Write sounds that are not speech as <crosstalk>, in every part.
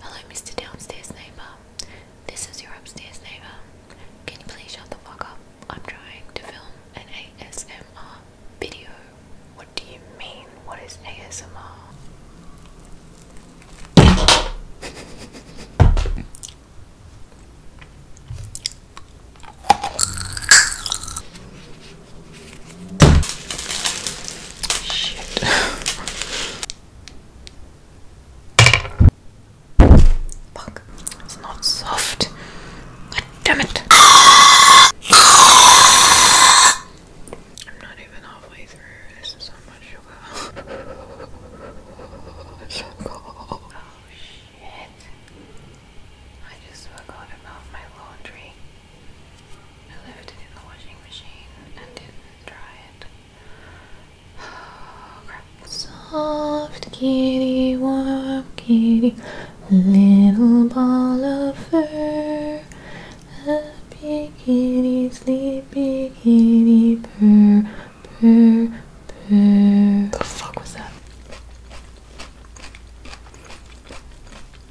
Hello, Mr. Downstairs Neighbor. This is your upstairs neighbor. Can you please shut the fuck up? I'm trying to film an ASMR video. What do you mean? What is ASMR? Shit. Fuck. It's not soft. God damn it. I'm not even halfway through. This is so much <laughs> Oh shit. I just forgot about my laundry the washing machine and it. Oh <sighs> Soft kitty, warm kitty, little ball of fur. A big kitty, sleepy kitty, purr, purr, purr. The fuck was that? I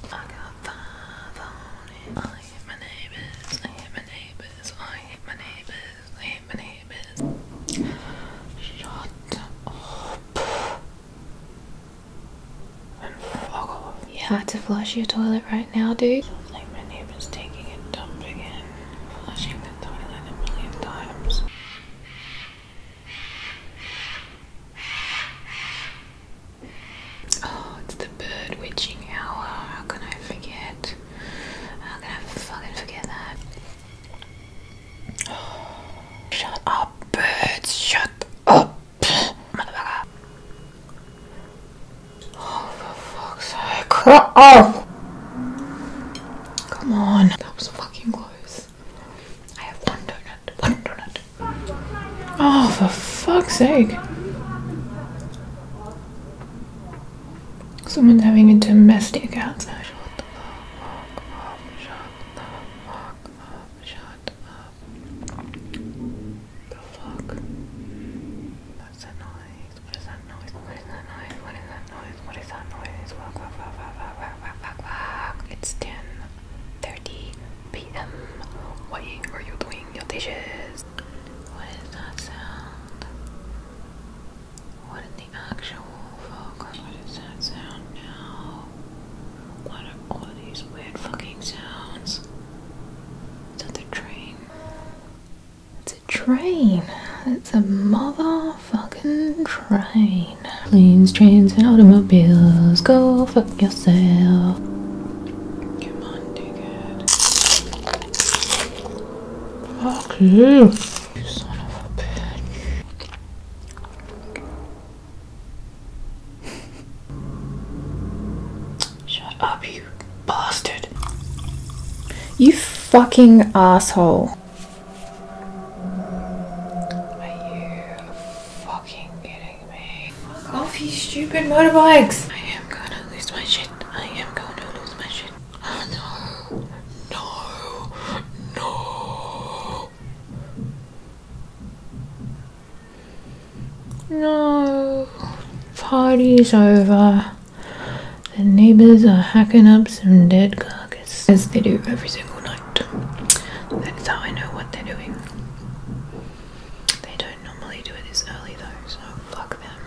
got five on I hate my neighbors. I hate my neighbors. I hate my neighbors. I hate my neighbors. Shut up. And fuck off. You had to flush your toilet right now, dude. Sounds like my neighbor's taking a dump again. Flushing the toilet a million times. Oh, it's the bird witching hour. How can I forget? How can I fucking forget that? <sighs> shut up, birds! Shut up, motherfucker! Oh, for fuck's sake! Oh, come on! That was fucking close. I have one donut. One donut. Oh, for fuck's sake. Someone's having a domestic outside. Shut noise. What is that noise? What is that noise? What is that noise? What is that noise? It's 10 PM. Why are you doing your dishes? What is that sound? What the actual fuck? What is that sound now? What are all these weird fucking sounds? It's a train? It's a train. It's a motherfucking train. Planes, trains, and automobiles. Go fuck yourself. Come on, do good. Fuck you. Shut up, you bastard. You fucking asshole. Are you fucking kidding kidding me? Fuck off, you stupid motorbikes! I am gonna lose my shit. I am gonna lose my shit. Oh no. No. No. No. Party's over. The neighbors are hacking up some dead carcass as they do every single night. That's how I know what they're doing. They don't normally do it this early though, so fuck them.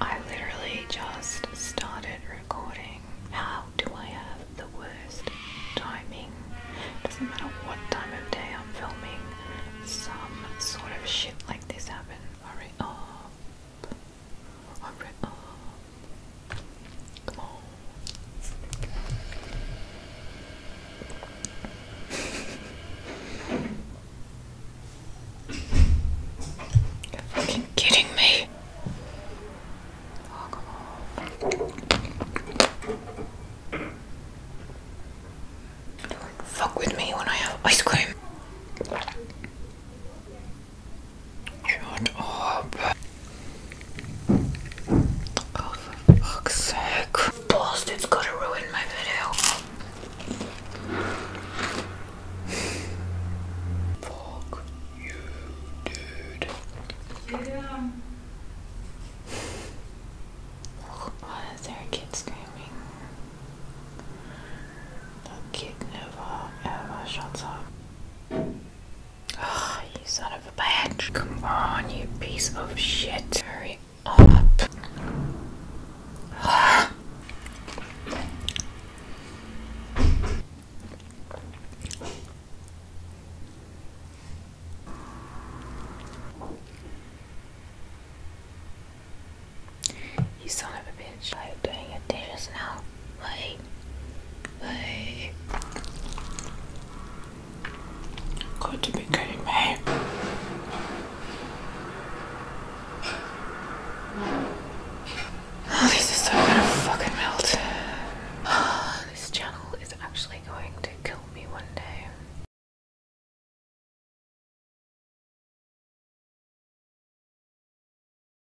I literally just started recording. How do I have the worst timing? Doesn't matter what time of day I'm filming, some sort of shit like this happens. Hurry up. Um, <laughs> You're fucking kidding me. Oh, fuck with me when I have ice cream. Shut up. Oh, fuck's sake. Boss, gonna ruin my video. Fuck you, dude. Why is there a kid screaming? That kid never ever shuts up. Oh, you son of a bitch. Come on, you piece of shit. Hurry up. <gasps> you son of a bitch. I'm you doing your dishes now? Wait. Wait. Got to be kidding me. Oh, this is so gonna fucking melt. <sighs> this channel is actually going to kill me one day.